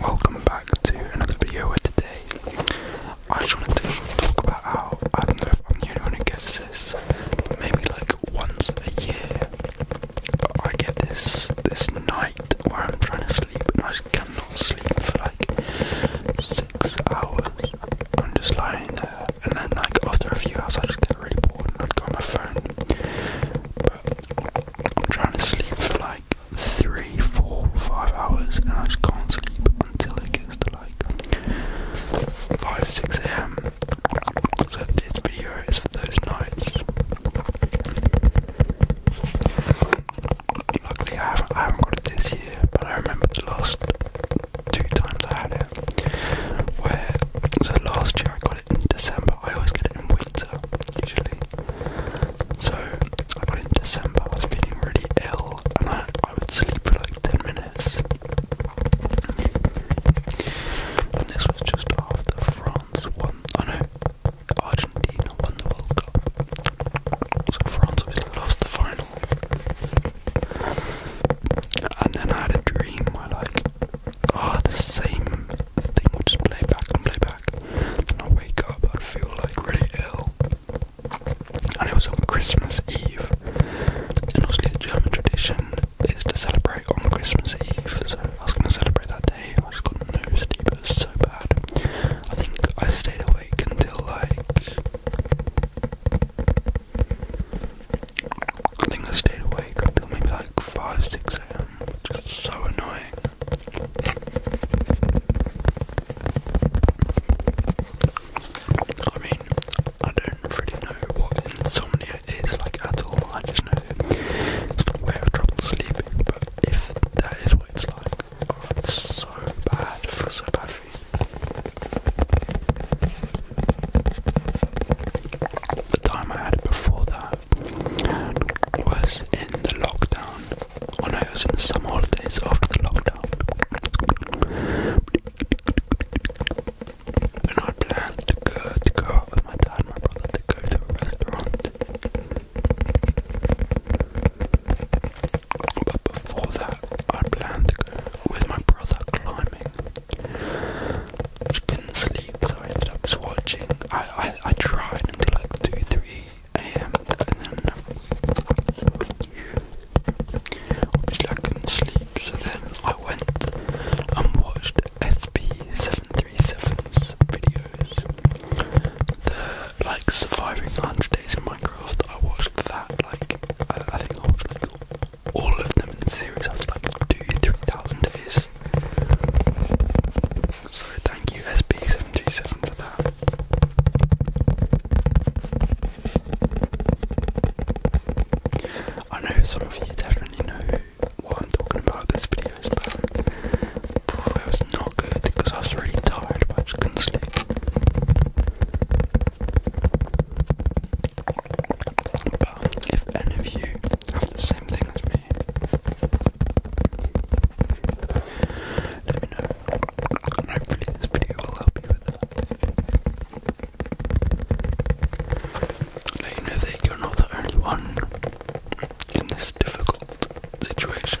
Welcome back to another video where today I just wanted to talk about how I don't know if I'm the only one gets this, maybe like once a year I get this this night where I'm trying to sleep and I cannot sleep for like six hours. I'm just lying there and then like after a few hours I just get really bored and I'd go on my phone. But I'm trying to sleep for like three, four, five hours, and I just can't sleep until it gets to like five, six a.m. So this video is for those nights. Luckily, I haven't, got it this year, but I remember the last two times I had it. Where so last year I got it in December. I always get it in winter usually. So I got in December, I was feeling really ill, and I, I would sleep for like 10 minutes. And this was just after France won, oh no, Argentina won the World Cup. France obviously lost the final. And then I had a dream where, like, ah, the same thing will just play back and play back. Then i wake up, i feel like really ill. And it was on Christmas Eve. And obviously the German tradition is to celebrate on Christmas Eve, so I was gonna celebrate that day. I just got no sleep, it so bad. I think I stayed awake until like I think I stayed awake until maybe like 5, 6 am, Just so annoying. I mean, I don't really know what insomnia is like at all. I just know it's where I have trouble sleeping. But if that is what it's like, oh, I'm so bad. for so bad for you. The time I had before that was in the lockdown when oh I was in the summer holidays after the lockdown. I planned to go, to go out with my dad and my brother to go to a restaurant. But before that, I planned to go with my brother climbing. I couldn't sleep, so I ended up just watching. I, I, I tried like 2 3 am, then I couldn't sleep, so then I went and watched sp 737s videos. The like surviving 100 days in Minecraft, I watched that like, I, think I watched all of them in the series I after like 2 3000 days. So thank you SB737 for that. I know some of you definitely know what I'm talking about this video, is about. it was not good because I was really tired I just couldn't sleep. But if any of you have the same thing as me, let me know. hopefully this video will help you Let you know that you're not the only one in this difficult situation.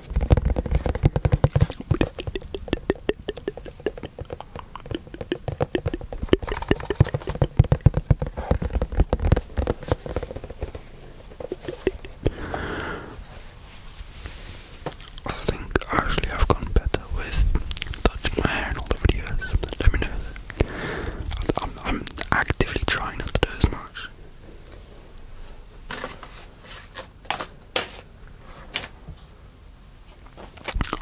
I think actually I've gone better with touching my hair in all the videos. Let me know I'm, I'm actively trying not to do as much.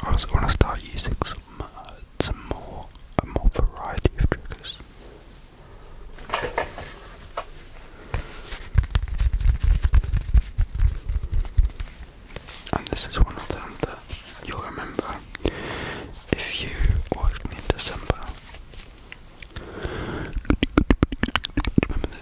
I also want to start using some, uh, some more, a more variety of triggers. And this is one of them that you'll remember if you watched me in December.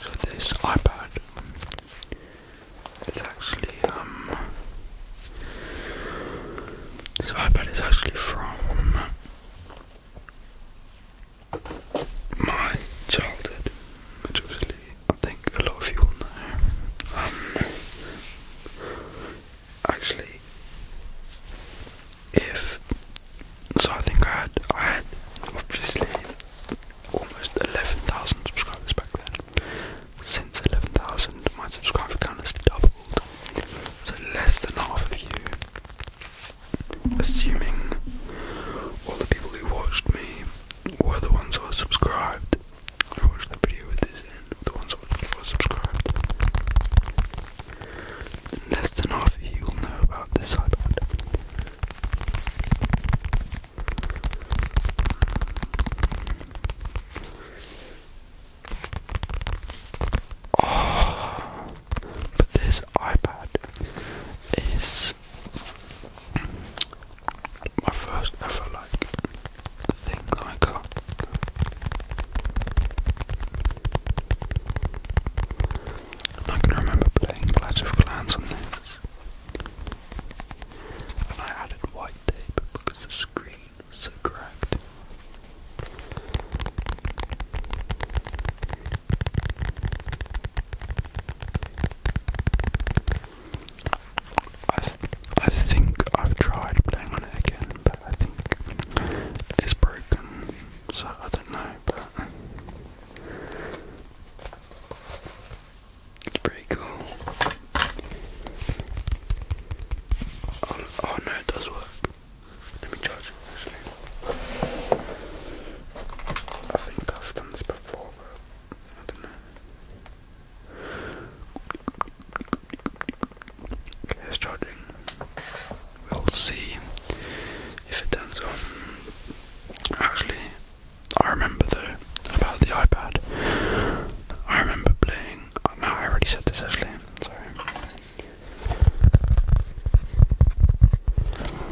So this iPad is actually um this iPad is actually from my childhood, which obviously I think a lot of you will know, um, actually, if so, I think I had I had obviously almost eleven thousand subscribers back then. Since eleven thousand, my subscriber count has doubled, so less than half of you assuming all the people who watched me were the ones who are subscribed. watched the video with this in, the ones who are subscribed. Less than half of you will know about this iPad. But this iPad is my first ever like thing that I got. I can remember playing Clash of Clans on this. And I added white tape because the screen was so cracked. I, I think I've tried playing on it again, but I think it's broken, so I don't know, but it's pretty cool. Oh, oh no, it does work. Let me charge actually. I think I've done this before, I don't know. Okay, it's charging. We'll see if it turns Actually, I remember though about the iPad. I remember playing. no, I already said this actually. Sorry.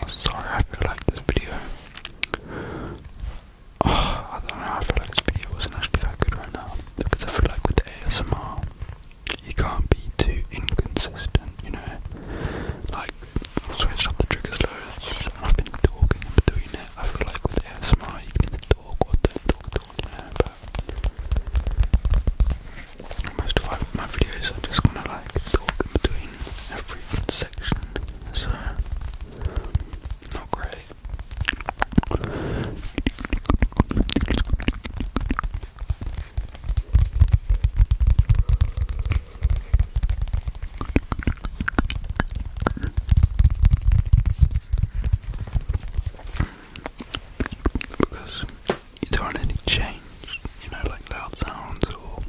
I'm sorry I feel like this video. Oh, I don't know, I feel like this video wasn't actually that good right now. Because I feel like with ASMR, you can't be too inconsistent, you know? Like, I've the triggers loads, I've been talking in between it. I feel like with ASMR, you can talk or don't talk at most of my videos, i just gonna like talk in between every section great. Because you don't any change, you know, like loud sounds or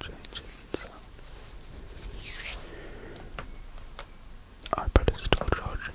change sound. iPad is still charging,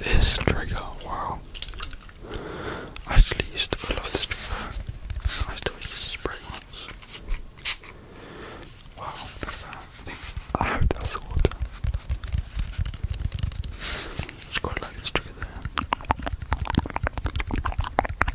This trigger, wow. I actually used to love this trigger. I still use spray ones. Wow, look at that. I I hope that's water. It's quite like this trigger there.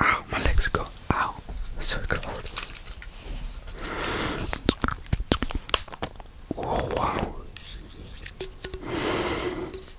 Ow, my legs go ow, so cold. Oh wow.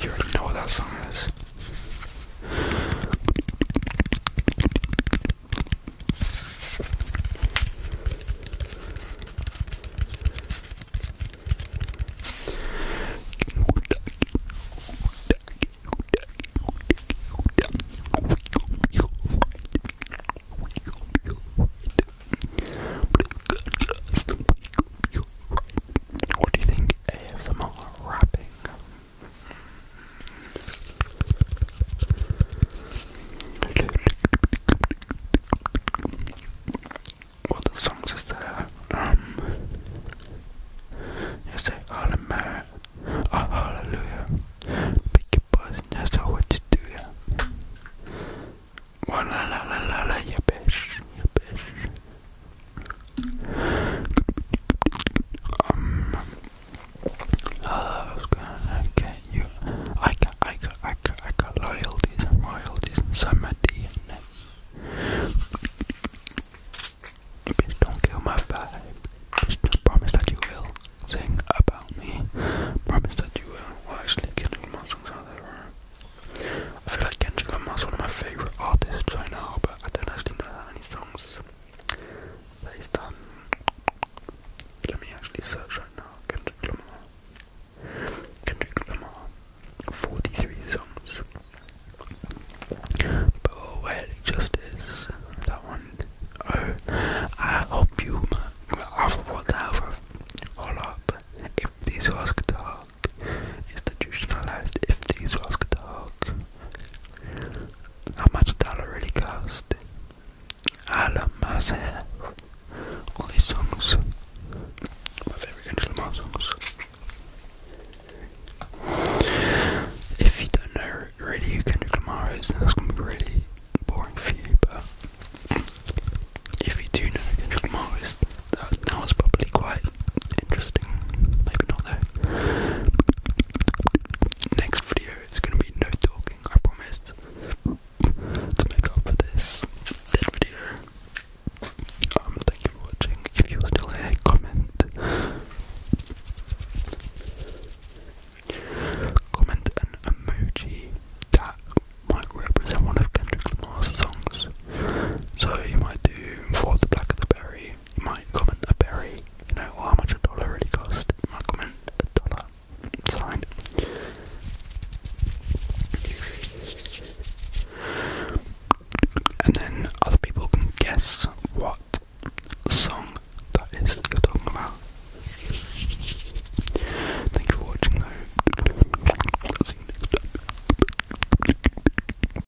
You already know what that song is. What do you think ASMR rap setting. All the songs is there. Um, you say hallelujah, oh, hallelujah. Pick your poison, that's all what do, yeah. Well, la la la la la, you bitch, you bitch. Um, love's gonna get you. I got, I got, I got, I got loyalties royalties inside my DNA. don't kill my vibe. promise that you will sing about me. Promise that you will. I feel like Kendrick is one of my favorite artists I right now. I don't actually know that songs Let me actually search right now. Kendrick Lamar. Kendrick Lamar. 43 songs. oh, well, it That one. Oh, I hope you. I've what the Hold up. If this was guitar, talk institutionalized if these walls could talk. How much a dollar really cost? I love myself. All these songs. My favorite Kendrick Lamar songs. If you don't know really Kendrick Lamar is, gonna be really boring for you, but if you do know Kendrick Lamar that was probably quite interesting. Maybe not though. Next video is gonna be no talking, I promised. To make up for this dead video. Um thank you for watching. If you still here, comment. Comment an emoji that might represent one of Kendrick Lamar's songs. So you might do For the Black of the Berry you might comment a berry, you know, or how much a dollar really cost. You might comment a dollar sign. And then other people can guess what song is that you're talking about. Thank you for watching though.